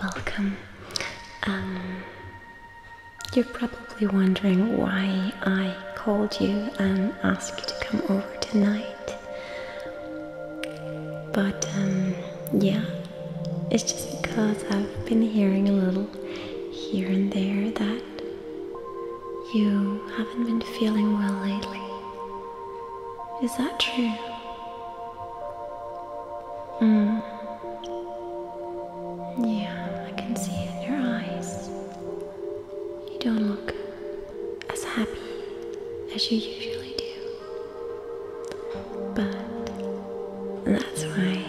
Welcome. Um, you're probably wondering why I called you and asked you to come over tonight. But um, yeah, it's just because I've been hearing a little here and there that you haven't been feeling well lately. Is that true? Hmm. Yeah, I can see it in your eyes. You don't look as happy as you usually do. But that's why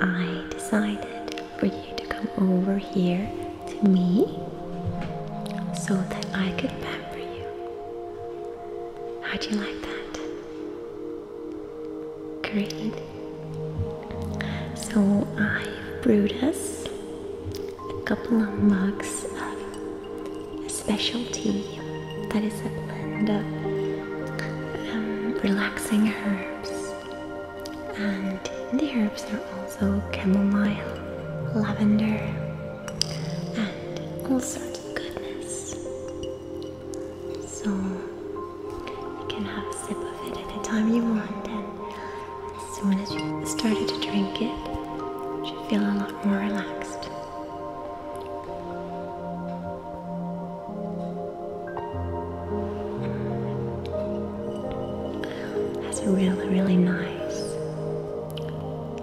I decided for you to come over here to me so that I could pamper you. How'd you like that? Great. So i brewed us a couple of mugs of a special tea that is a blend of um, relaxing herbs. And the herbs are also chamomile, lavender, and all sorts of goodness. So you can have a sip of it at any time you want, and as soon as you started to drink it, you should feel a lot more relaxed. That's really, really nice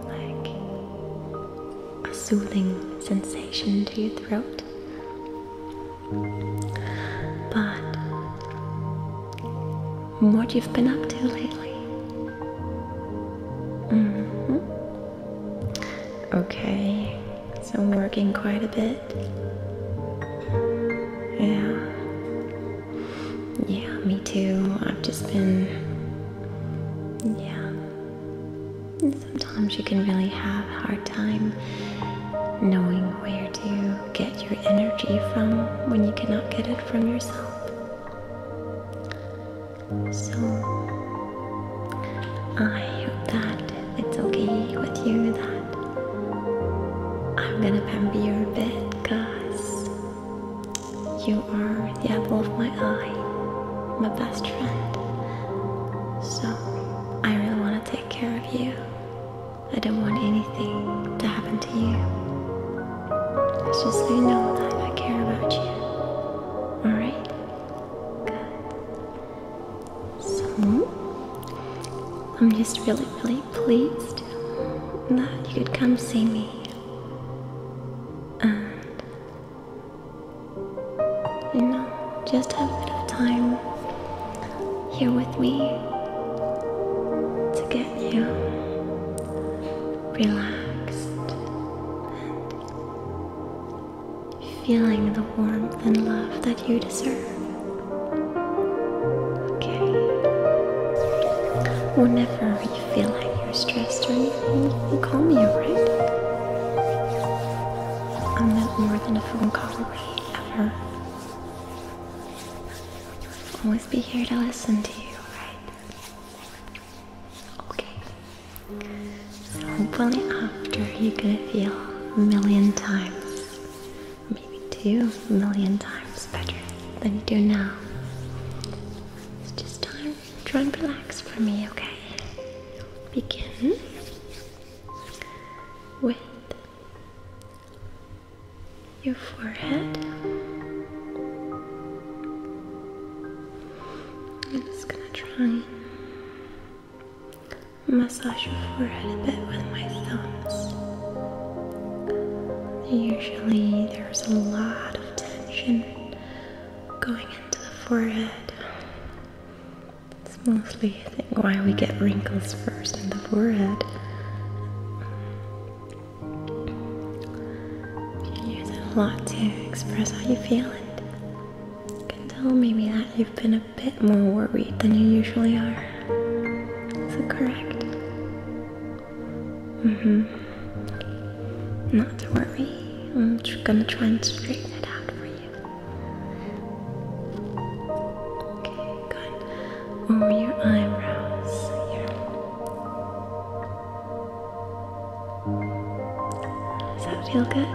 like a soothing sensation to your throat. But what you've been up to lately? -hmm. Okay, so I'm working quite a bit. Yeah. Yeah, me too. I've just been. Yeah. Sometimes you can really have a hard time knowing where to get your energy from when you cannot get it from yourself. So, I hope that it's okay with you that I'm gonna pamper you a bit because you are the apple of my eye, my best friend. So, I really want to take care of you. I don't want anything to happen to you. It's just so you know that I care about you. Alright? Good. So, I'm just really, really pleased that you could come see me. And, you know, just have a bit of time here with me to get you relaxed and feeling the warmth and love that you deserve. Okay. Whenever you feel like you're stressed or anything, you can call me, alright? I'm not more than a phone call away, ever. always be here to listen to you, alright? Okay. So hopefully after you're gonna feel a million times maybe two million times better than you do now. It's just time. Try and relax for me, okay? Begin with your forehead. I'm just gonna try massage your forehead a bit with my thumbs. Usually, there's a lot of tension going into the forehead. It's mostly, I think, why we get wrinkles first in the forehead. You use it a lot to express how you feel, and can tell maybe that you've been a a bit more worried than you usually are. Is it correct? Mm-hmm. Not to worry. I'm gonna try and straighten it out for you. Okay, good. Over oh, your eyebrows Does that feel good?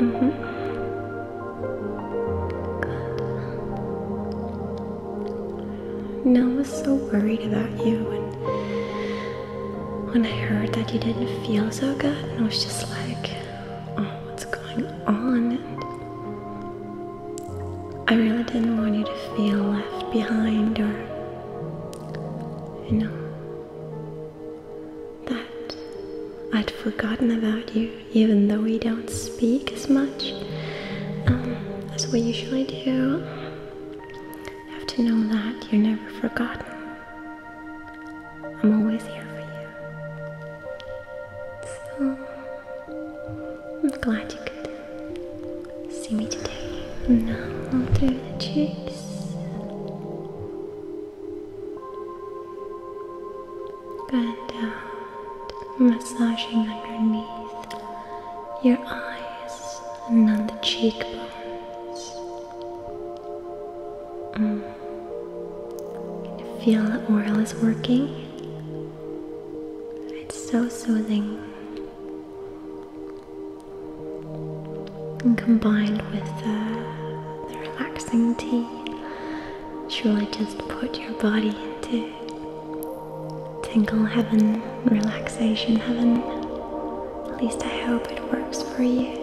Mm-hmm. And uh, I was so worried about you and when I heard that you didn't feel so good I was just like, oh what's going on? I really didn't want you to feel left behind or you know that I'd forgotten about you, even though we don't speak as much um, as we usually do. have to know that you're never forgotten. I'm always here for you. So, I'm glad you could see me today. Now, through the cheeks. Bend out, uh, massaging underneath your eyes and on the cheekbones. Mm. feel the oil is working? It's so soothing and combined with uh, the relaxing tea, it's really just put your body into tingle heaven, relaxation heaven. At least I hope it works for you.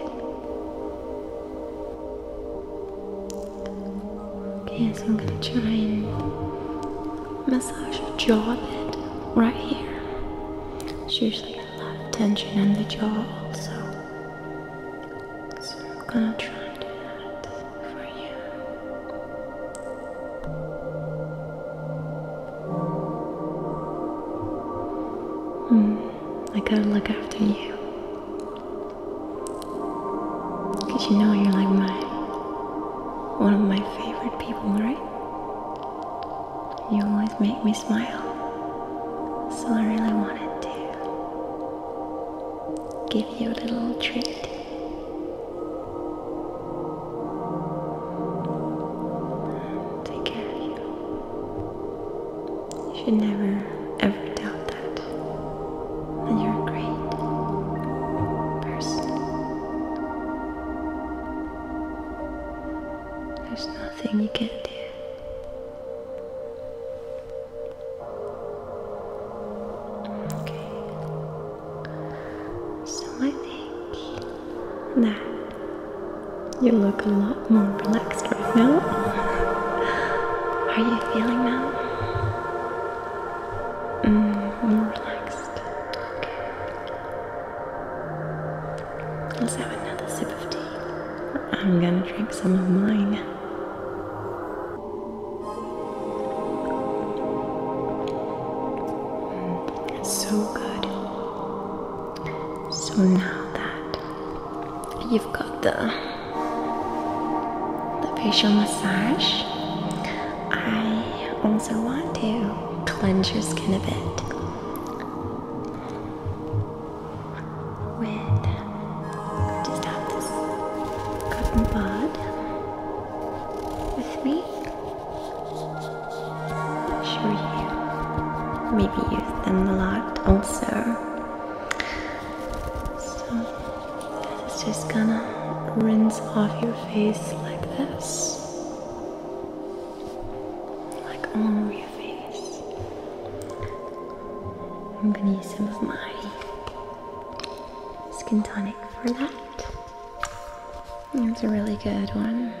Okay, so I'm gonna try and massage your jaw bit right here. It's a lot of tension in the jaw also. So I'm gonna try and do that for you. Hmm, I gotta look after you. Cause you know you're like my, one of my favorite people, right? You always make me smile, so I really wanted to give you a little treat. Take care of you. You should never, ever doubt that. you're a great person. There's nothing you can do. So I think that you look a lot more relaxed right now. Are you feeling now? Mm, more relaxed. Let's have another sip of tea. I'm gonna drink some of mine. Mm, it's so good. So now that you've got the the facial massage, I also want to cleanse your skin a bit with just have this cotton bud with me. i sure you maybe use them a lot also. So this is just gonna rinse off your face like this like all your face. I'm gonna use some of my skin tonic for that. It's a really good one.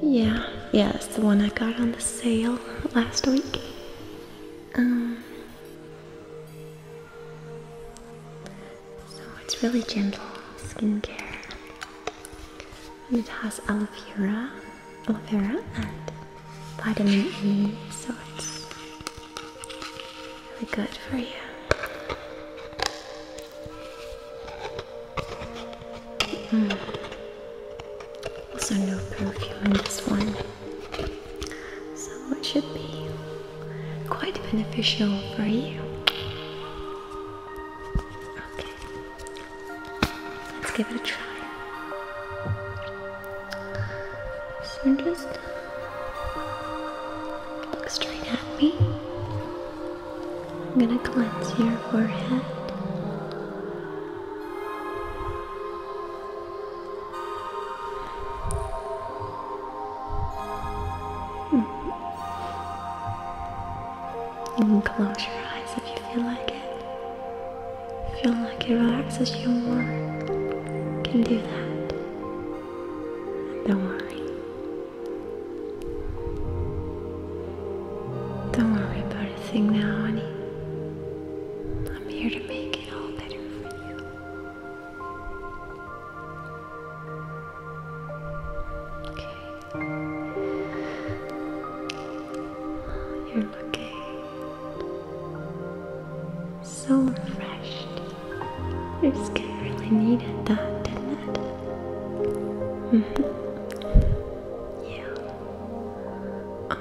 Yeah, yeah, it's the one I got on the sale last week. Um, so it's really gentle skincare. And it has aloe vera, aloe vera and vitamin E, so it's really good for you. Mm. Also no perfume in this one. So it should be quite beneficial for you. Okay, let's give it a try. So just look straight at me. I'm gonna cleanse your forehead. Hmm. You can close your eyes if you feel like it. Feel like it relaxes you more. You can do that. Don't worry. Don't worry about a thing now, honey. I'm here to make it all better for you. Okay. You're looking so refreshed. Your skin really needed that, didn't it? Mm -hmm. Yeah.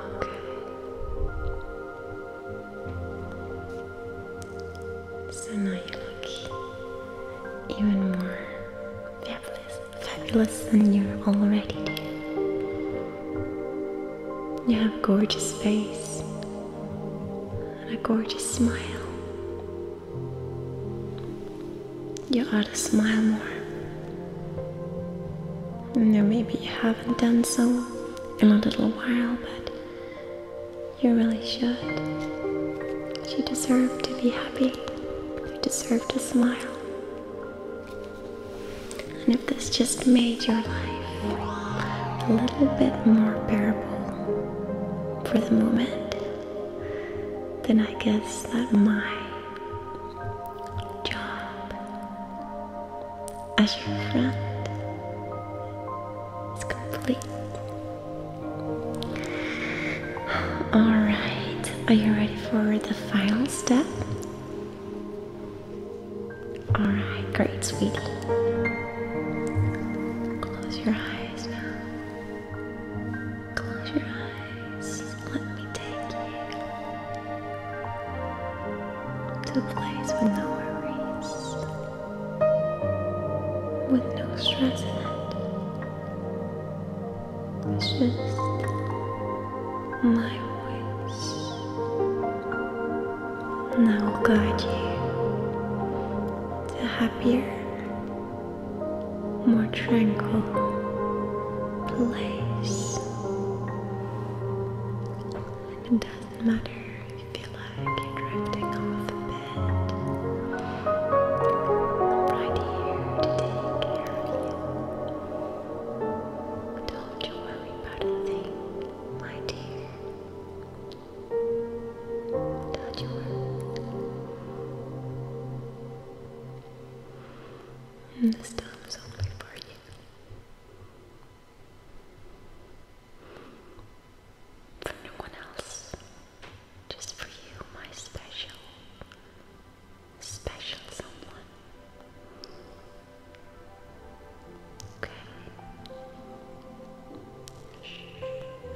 Okay. So now you look even more fabulous, fabulous than you're already do. You have a gorgeous face and a gorgeous smile. You ought to smile more. No, maybe you haven't done so in a little while, but you really should. You deserve to be happy. You deserve to smile. And if this just made your life a little bit more bearable for the moment, then I guess that my job as your friend is complete. Alright, are you ready for the final step? Alright, great, sweetie. Close your eyes now. Close your eyes. Let me take you to a place with no worries, with no stress in it. It's just my voice, and I will guide you to a happier, more tranquil place. It doesn't matter if you feel like you're drifting off a bit. I'm right here to take care of you. Don't you worry about a thing, my dear. Don't you worry. And this time is only for you. For no one else, just for you, my special, special someone. Okay.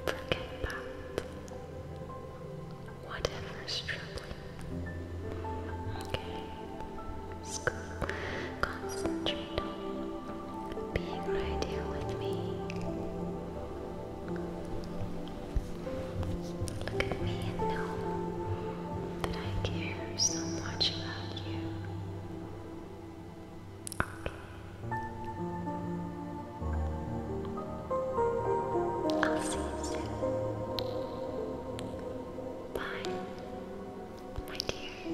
Forget about whatever's troubling Okay. School. Concentrate on being right here with me. Look at me and know that I care so much about you. Okay. I'll see you soon. Bye, my dear.